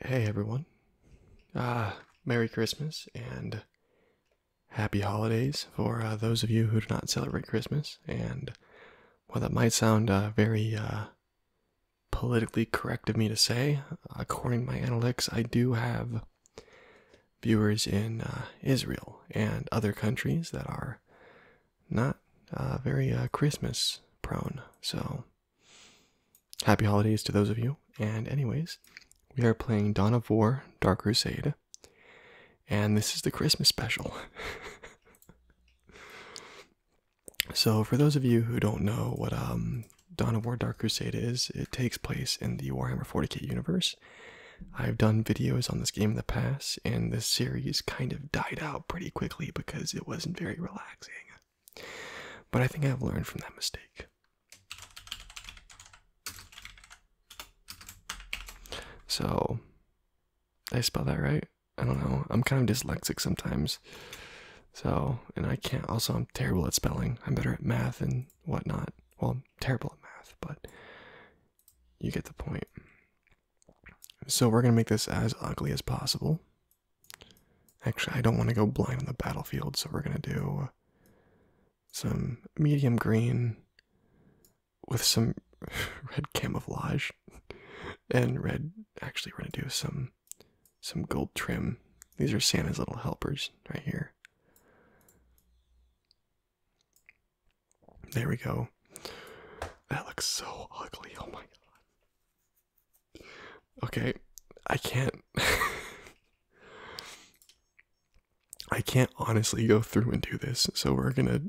Hey everyone. Ah, Merry Christmas and Happy Holidays for uh, those of you who do not celebrate Christmas. And while that might sound uh, very uh, politically correct of me to say, according to my analytics, I do have viewers in Israel and other countries that are not uh, very uh, Christmas prone. So, happy holidays to those of you. And, anyways, we are playing Dawn of War Dark Crusade, and this is the Christmas special. so, for those of you who don't know what um, Dawn of War Dark Crusade is, it takes place in the Warhammer 40k universe. I've done videos on this game in the past, and this series kind of died out pretty quickly because it wasn't very relaxing. But I think I've learned from that mistake. So, I spell that right? I don't know. I'm kind of dyslexic sometimes. So, and I can't, also, I'm terrible at spelling. I'm better at math and whatnot. Well, I'm terrible at math, but you get the point. So we're going to make this as ugly as possible. Actually, I don't want to go blind on the battlefield, so we're going to do some medium green with some red camouflage and red actually we're going to do some some gold trim. These are Santa's little helpers right here. There we go. That looks so ugly. Oh my god. Okay, I can't. I can't honestly go through and do this, so we're gonna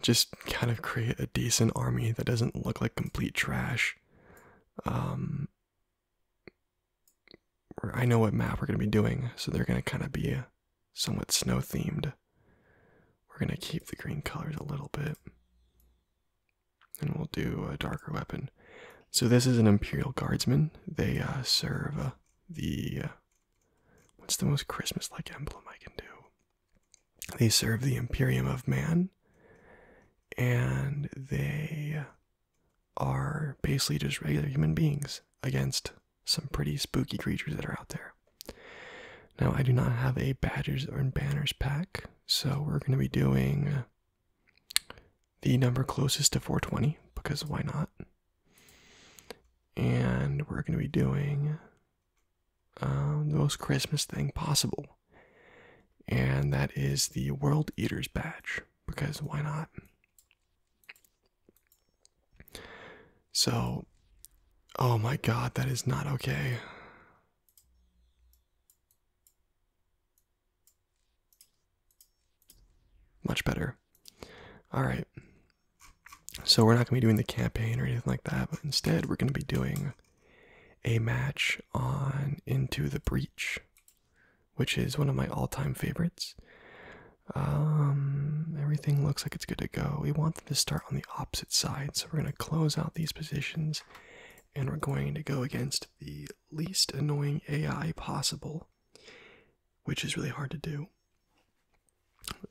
just kind of create a decent army that doesn't look like complete trash. Um, I know what map we're gonna be doing, so they're gonna kind of be somewhat snow themed. We're going to keep the green colors a little bit. And we'll do a darker weapon. So this is an Imperial Guardsman. They uh, serve uh, the... Uh, what's the most Christmas-like emblem I can do? They serve the Imperium of Man. And they are basically just regular human beings against some pretty spooky creatures that are out there. Now, I do not have a Badgers and Banners pack, so we're going to be doing the number closest to 420 because why not? And we're going to be doing um, the most Christmas thing possible, and that is the World Eaters badge because why not? So, oh my god, that is not okay. Much better. All right. So, we're not going to be doing the campaign or anything like that, but instead, we're going to be doing a match on Into the Breach, which is one of my all time favorites. Um, everything looks like it's good to go. We want them to start on the opposite side, so we're going to close out these positions and we're going to go against the least annoying AI possible, which is really hard to do.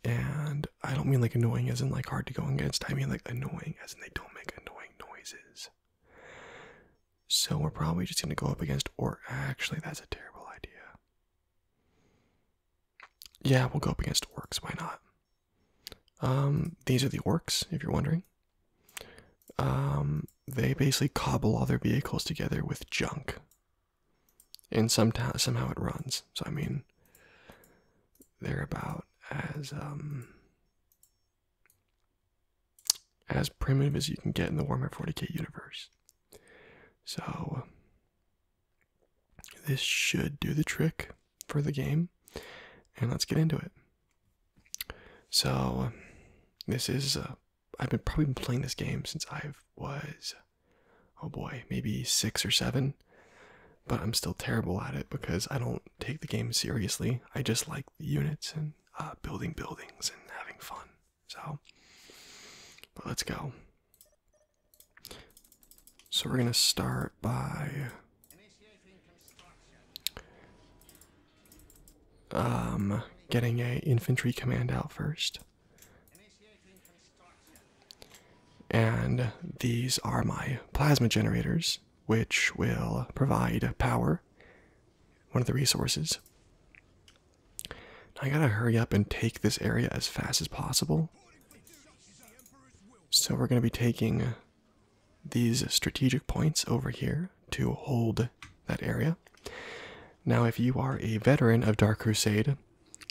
And I don't mean like annoying as in like hard to go against, I mean like annoying as in they don't make annoying noises. So we're probably just going to go up against, or actually, that's a terrible idea. Yeah, we'll go up against orcs. Why not? Um, these are the orcs, if you're wondering. Um, they basically cobble all their vehicles together with junk, and somehow somehow it runs. So I mean, they're about as um as primitive as you can get in the Warhammer 40k universe. So this should do the trick for the game, and let's get into it. So, this is uh, I've been probably been playing this game since I was oh boy, maybe six or seven, but I'm still terrible at it because I don't take the game seriously. I just like the units and uh, building buildings and having fun. So, but let's go. So we're going to start by um, getting a infantry command out first. And these are my plasma generators, which will provide power, one of the resources. I gotta hurry up and take this area as fast as possible. So we're gonna be taking these strategic points over here to hold that area. Now, if you are a veteran of Dark Crusade,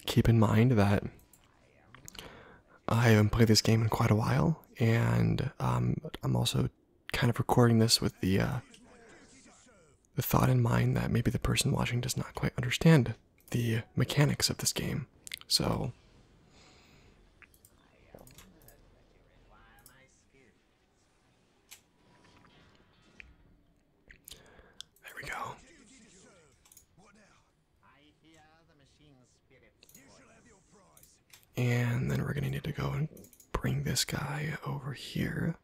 keep in mind that I haven't played this game in quite a while, and um, I'm also kind of recording this with the uh, the thought in mind that maybe the person watching does not quite understand the mechanics of this game. So there we go. And then we're gonna need to go and bring this guy over here.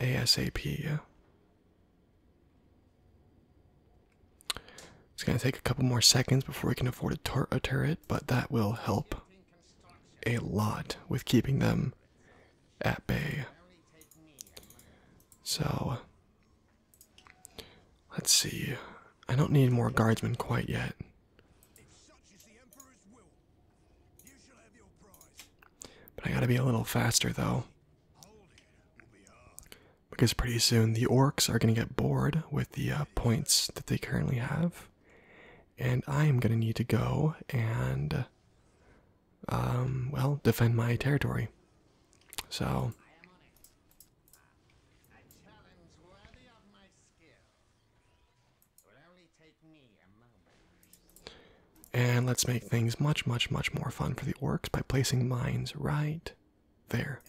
ASAP, yeah. It's going to take a couple more seconds before we can afford a, a turret, but that will help a lot with keeping them at bay. So, let's see. I don't need more guardsmen quite yet. But I gotta be a little faster though. Because pretty soon the orcs are going to get bored with the uh, points that they currently have. And I am going to need to go and, um, well, defend my territory. So. And let's make things much, much, much more fun for the orcs by placing mines right there.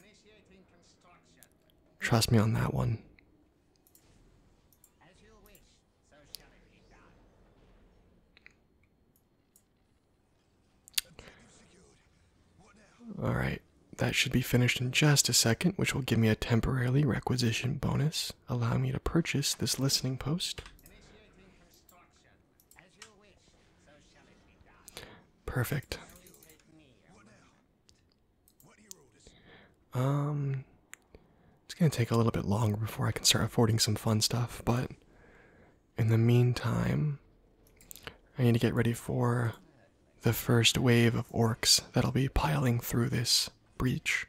Trust me on that one. All right, that should be finished in just a second, which will give me a temporarily requisition bonus, allowing me to purchase this listening post. Perfect. Um, it's gonna take a little bit longer before I can start affording some fun stuff, but in the meantime, I need to get ready for the first wave of orcs that'll be piling through this breach.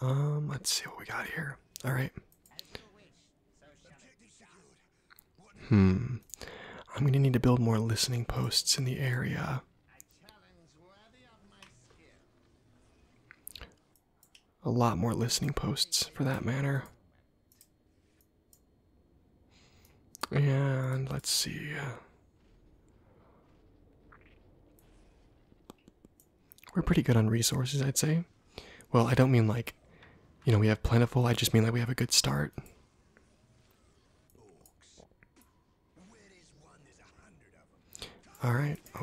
Um, let's see what we got here. All right. Hmm. I'm going to need to build more listening posts in the area. A lot more listening posts for that matter. And let's see. We're pretty good on resources, I'd say. Well, I don't mean like, you know, we have plentiful, I just mean like we have a good start. Alright. Oh.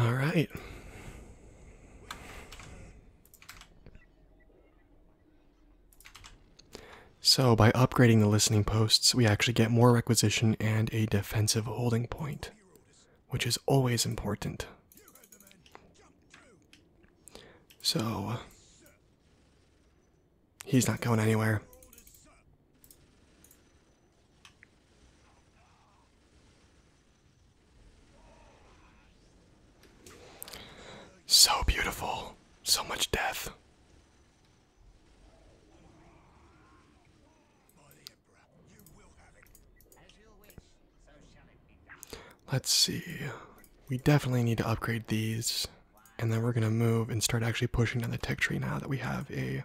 All right. So, by upgrading the listening posts, we actually get more requisition and a defensive holding point, which is always important. So, he's not going anywhere. So beautiful, so much death. Let's see. We definitely need to upgrade these, and then we're gonna move and start actually pushing down the tech tree now that we have a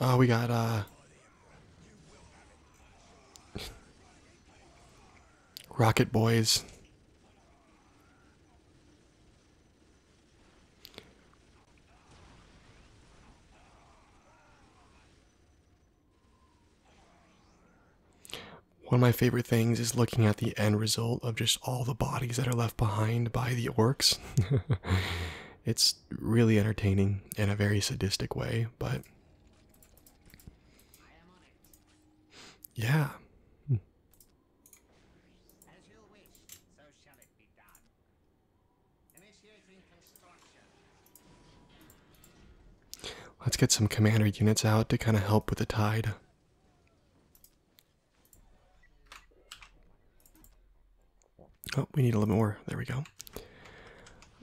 Oh, we got, uh, Rocket Boys. One of my favorite things is looking at the end result of just all the bodies that are left behind by the orcs. it's really entertaining in a very sadistic way, but yeah. Let's get some commander units out to kind of help with the tide. Oh, we need a little more. There we go.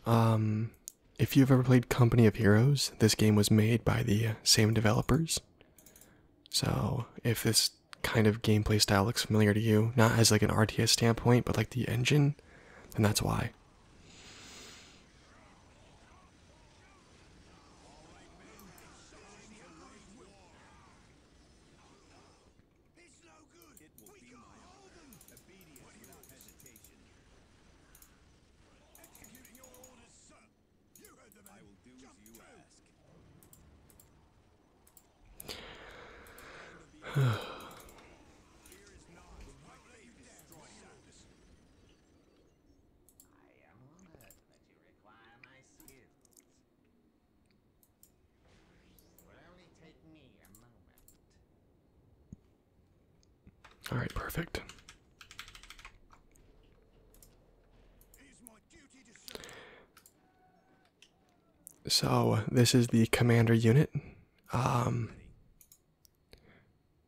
Um if you've ever played Company of Heroes, this game was made by the uh, same developers. So if this kind of gameplay style looks familiar to you, not as like an RTS standpoint, but like the engine, then that's why. It's no good. It will we be can't my hold them. Obedience without hesitation. Executing your orders, sir. You heard them. I will do Jump as you to. ask. All right, perfect. So this is the commander unit. Um,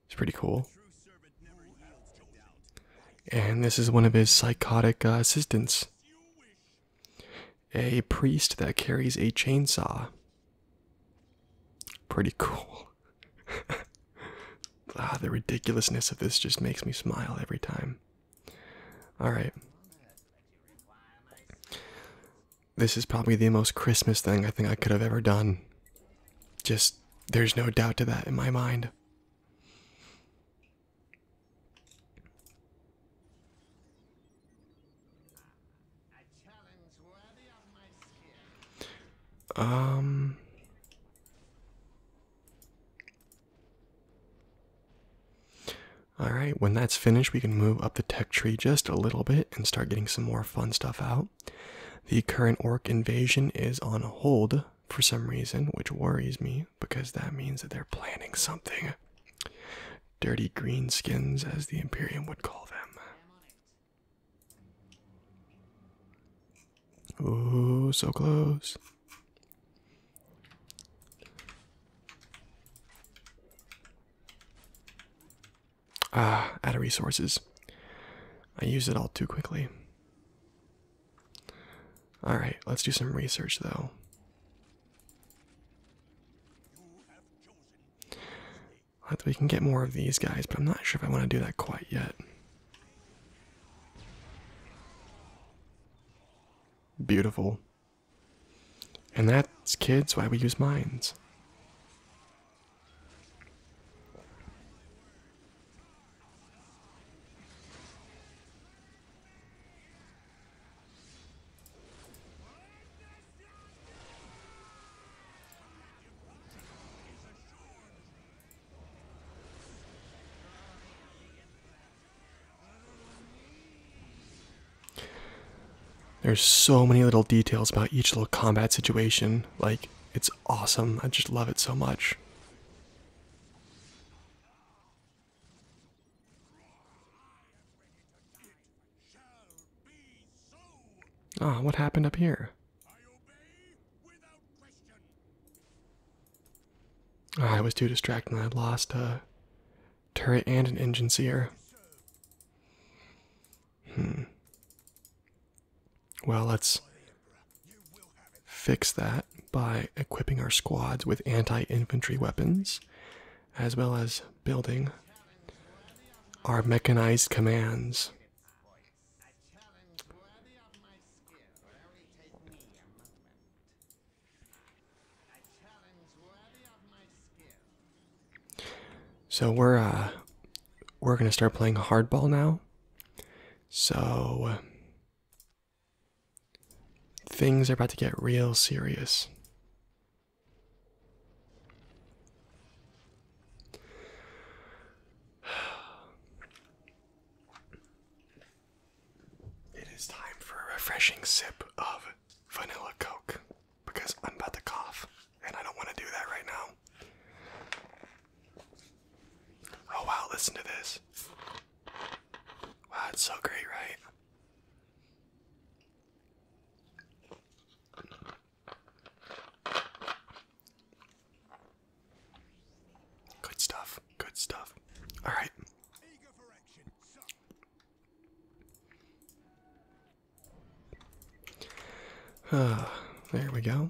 it's pretty cool. And this is one of his psychotic uh, assistants a priest that carries a chainsaw. Pretty cool. ah, the ridiculousness of this just makes me smile every time. Alright. This is probably the most Christmas thing I think I could have ever done. Just, there's no doubt to that in my mind. Um. All right, when that's finished, we can move up the tech tree just a little bit and start getting some more fun stuff out. The current orc invasion is on hold for some reason, which worries me because that means that they're planning something. Dirty green skins, as the Imperium would call them. Oh, so close. Ah, out of resources. I used it all too quickly. Alright, let's do some research though. We can get more of these guys, but I'm not sure if I want to do that quite yet. Beautiful. And that's, kids, why we use mines. There's so many little details about each little combat situation. Like, it's awesome. I just love it so much. Ah, what happened up here? Ah, I was too distracted and I lost a turret and an engine seer. Hmm. Well, let's fix that by equipping our squads with anti infantry weapons as well as building our mechanized commands. So we're uh, we're gonna start playing hardball now. So things are about to get real serious. It is time for a refreshing sip of vanilla coke because I'm about to cough and I don't want to do that right now. Oh wow, listen to this. Wow, it's so great, right? Good stuff. Good stuff. All right. Uh, there we go.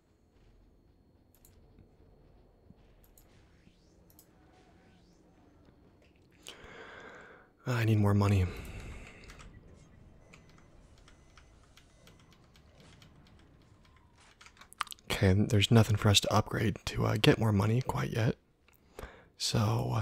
Ah, I need more money. Okay, there's nothing for us to upgrade to uh, get more money quite yet. So. Uh,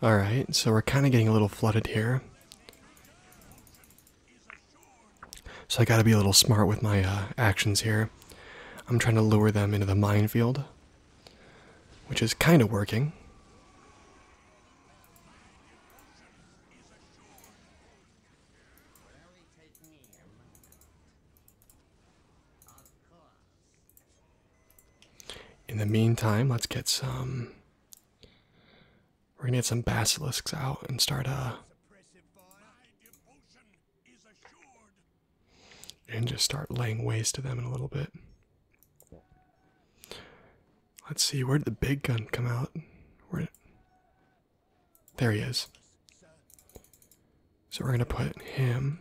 Alright, so we're kind of getting a little flooded here. So I gotta be a little smart with my uh, actions here. I'm trying to lure them into the minefield, which is kind of working. In the meantime, let's get some. We're gonna get some basilisks out and start uh and just start laying waste to them in a little bit. Let's see, where did the big gun come out? Where there he is. So we're going to put him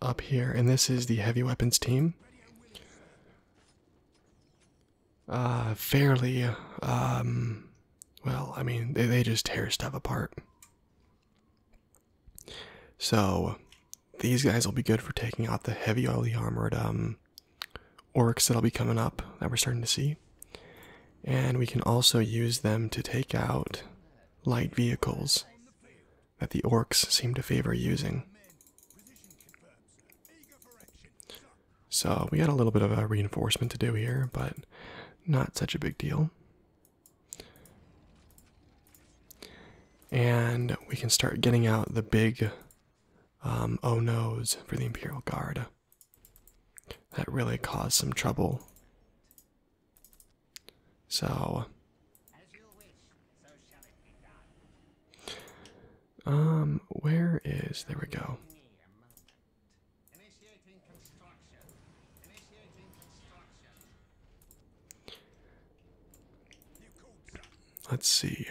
up here, and this is the heavy weapons team. Uh, fairly, um, well, I mean, they, they just tear stuff apart. So, these guys will be good for taking out the heavy, armored, um, orcs that'll be coming up that we're starting to see. And we can also use them to take out light vehicles that the orcs seem to favor using. So we got a little bit of a reinforcement to do here, but not such a big deal. And we can start getting out the big um, oh no's for the Imperial Guard. That really caused some trouble. So, um, where is there? We go. Let's see.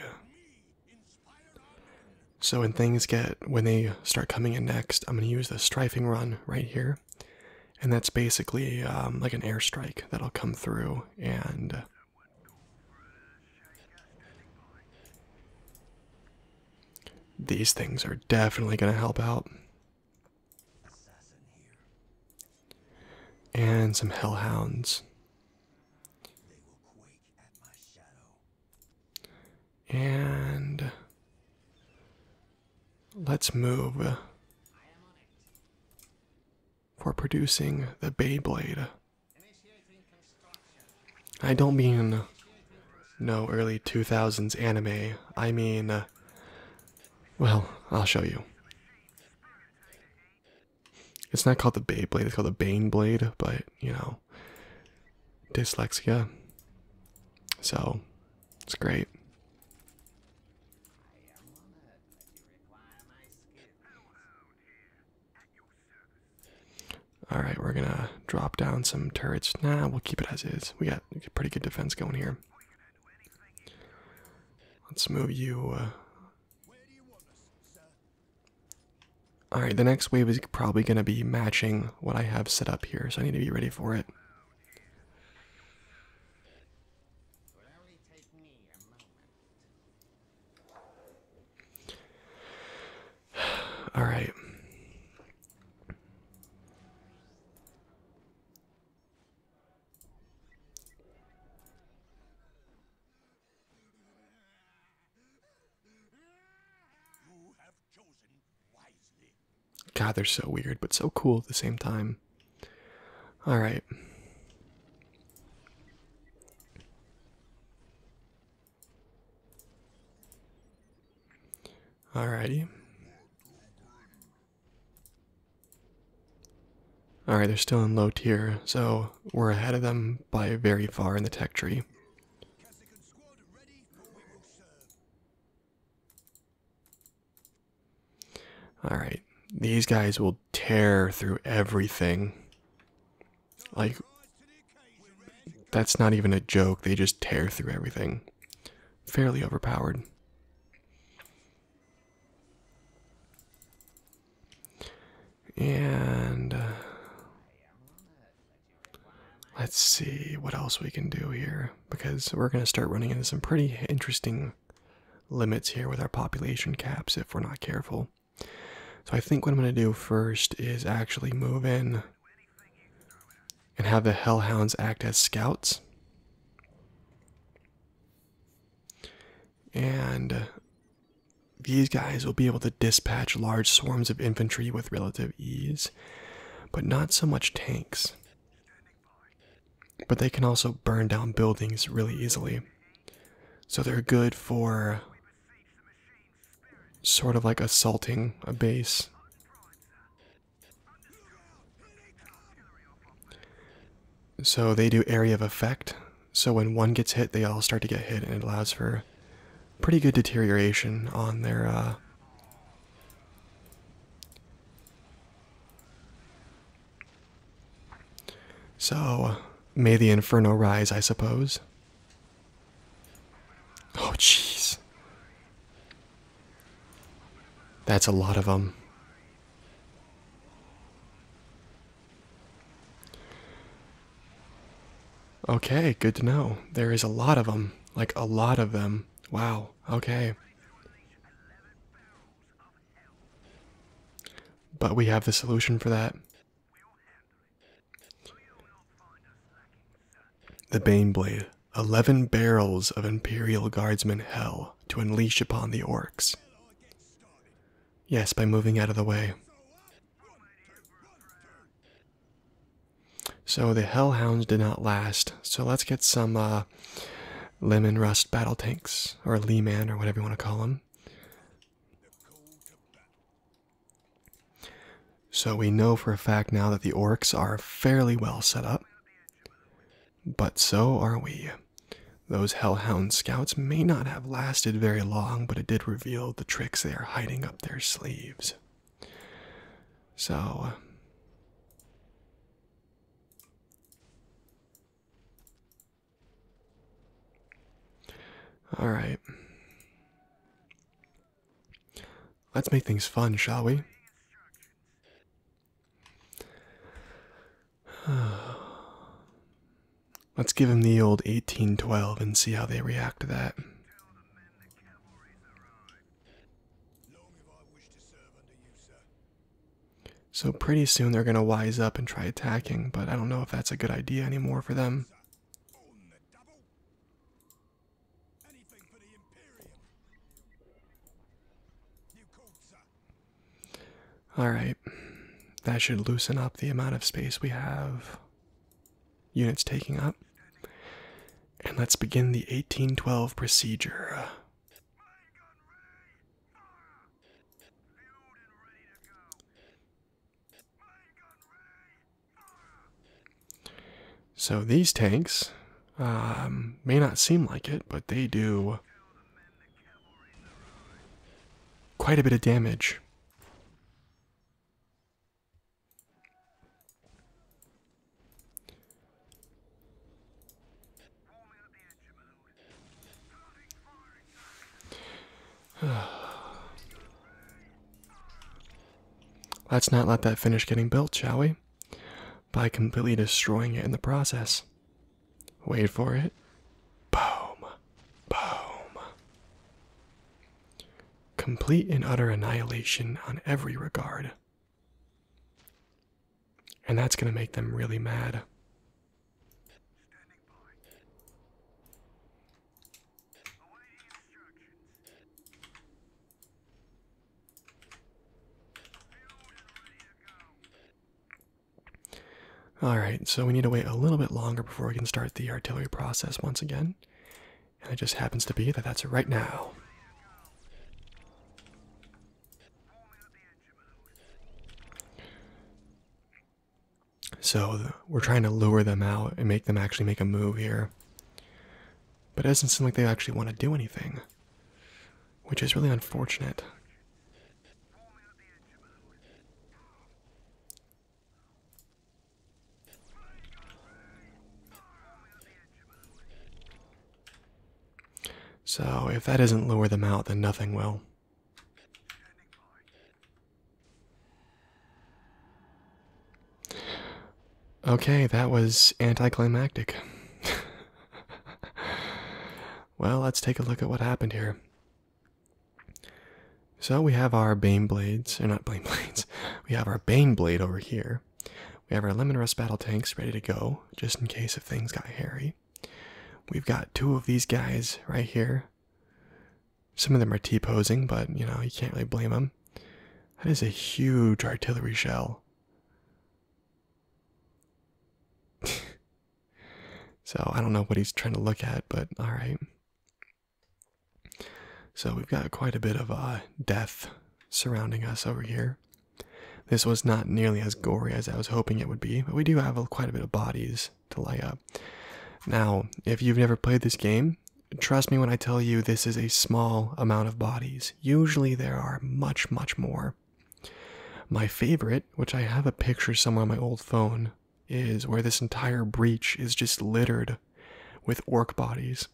So when things get when they start coming in next, I'm going to use the strafing run right here. And that's basically um, like an airstrike that'll come through and. These things are definitely going to help out. And some hellhounds. And let's move for producing the Beyblade. I don't mean no early 2000s anime. I mean, well, I'll show you. It's not called the Beyblade, it's called the Baneblade. but you know, dyslexia. So it's great. All right, we're gonna drop down some turrets. Nah, we'll keep it as is. We got pretty good defense going here. Let's move you. Uh... All right, the next wave is probably gonna be matching what I have set up here, so I need to be ready for it. All right. God, they're so weird, but so cool at the same time. All right. Alrighty. Alright, they're still in low tier, so we're ahead of them by very far in the tech tree. All right, these guys will tear through everything. Like, that's not even a joke. They just tear through everything. Fairly overpowered. And uh, Let's see what else we can do here because we're going to start running into some pretty interesting limits here with our population caps if we're not careful. So I think what I'm going to do first is actually move in and have the hellhounds act as scouts. And these guys will be able to dispatch large swarms of infantry with relative ease but not so much tanks. But they can also burn down buildings really easily. So they're good for sort of like assaulting a base. So they do area of effect. So when one gets hit, they all start to get hit, and it allows for pretty good deterioration on their uh, so, may the inferno rise, I suppose. Oh, jeez. That's a lot of them. Okay, good to know. There is a lot of them. Like, a lot of them. Wow, okay. But we have the solution for that. The Bane Blade. Eleven barrels of Imperial Guardsmen hell to unleash upon the orcs. Yes, by moving out of the way. So the hellhounds did not last. So let's get some uh, lemon rust battle tanks, or lee or whatever you want to call them. So we know for a fact now that the orcs are fairly well set up. But so are we. Those hellhound scouts may not have lasted very long, but it did reveal the tricks they are hiding up their sleeves. So uh, all right. Let's make things fun, shall we? Let's give him the old 1812 and see how they react to that. So pretty soon they're going to wise up and try attacking, but I don't know if that's a good idea anymore for them. Alright, that should loosen up the amount of space we have units taking up. And let's begin the 1812 procedure. So these tanks um, may not seem like it, but they do quite a bit of damage. Let's not let that finish getting built, shall we? By completely destroying it in the process. Wait for it. Boom. Boom complete and utter annihilation on every regard. And that's going to make them really mad. Alright, so we need to wait a little bit longer before we can start the artillery process once again. And it just happens to be that that's right now. So we're trying to lure them out and make them actually make a move here. But it doesn't seem like they actually want to do anything, which is really unfortunate. So, if that doesn't lure them out, then nothing will. Okay, that was anticlimactic. well, let's take a look at what happened here. So we have our beam blades, They're not beam blades, we have our Bane Blade over here. We have our Lemon Rust Battle Tanks ready to go, just in case if things got hairy. We've got two of these guys right here. Some of them are T-posing, but, you know, you can't really blame them. That is a huge artillery shell. so, I don't know what he's trying to look at, but alright. So we've got quite a bit of uh, death surrounding us over here. This was not nearly as gory as I was hoping it would be, but we do have quite a bit of bodies to lay up. Now, if you've never played this game, trust me when I tell you this is a small amount of bodies. Usually there are much, much more. My favorite, which I have a picture somewhere on my old phone, is where this entire breach is just littered with orc bodies.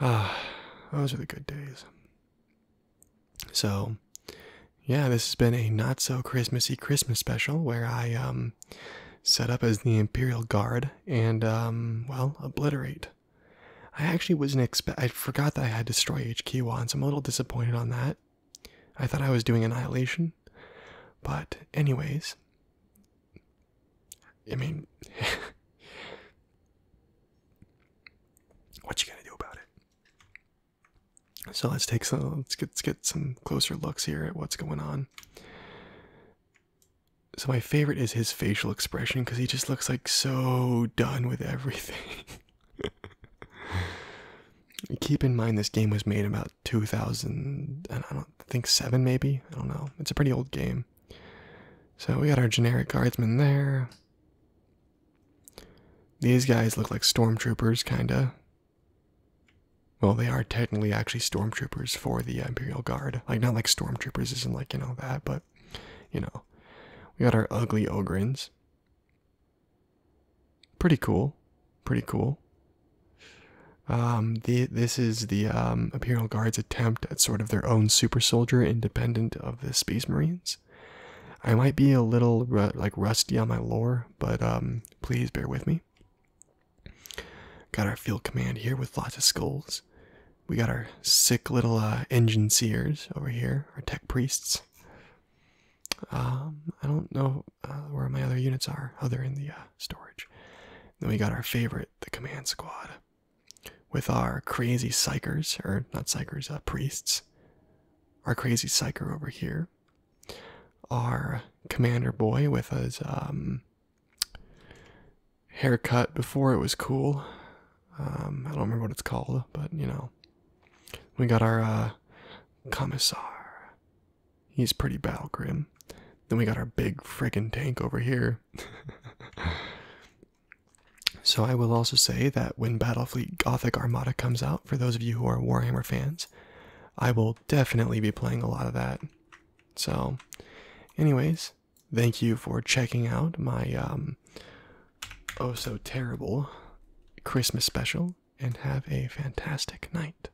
Ah, those are the good days. So, yeah, this has been a not so Christmassy Christmas special where I um, set up as the Imperial Guard and um, well obliterate. I actually wasn't expect. I forgot that I had destroy HQ once. I'm a little disappointed on that. I thought I was doing annihilation, but anyways, I mean, what you gonna do about it? So let's take some. Let's get, let's get some closer looks here at what's going on. So my favorite is his facial expression because he just looks like so done with everything. Keep in mind this game was made about 2000 and I don't think 7 maybe. I don't know. It's a pretty old game. So we got our generic guardsmen there. These guys look like stormtroopers, kinda. Well, they are technically actually stormtroopers for the Imperial Guard. Like, not like stormtroopers isn't like, you know, that, but, you know. We got our ugly Ogrins. Pretty cool. Pretty cool. Um, this is the um, Imperial Guard's attempt at sort of their own super soldier, independent of the Space Marines. I might be a little like rusty on my lore, but um, please bear with me. Got our field command here with lots of skulls. We got our sick little uh, engine seers over here, our tech priests. I don't know uh, where my other units are, other in the uh, storage. Then we got our favorite the command squad with our crazy psychers, or not psychers, uh, priests. Our crazy psycher over here. Our commander boy with his um, haircut before it was cool. Um, I don't remember what it's called, but you know. We got our uh, commissar. He's pretty battle grim. Then we got our big friggin' tank over here. so I will also say that when Battlefleet Gothic Armada comes out, for those of you who are Warhammer fans, I will definitely be playing a lot of that. So, anyways, thank you for checking out my um oh so terrible Christmas special and have a fantastic night.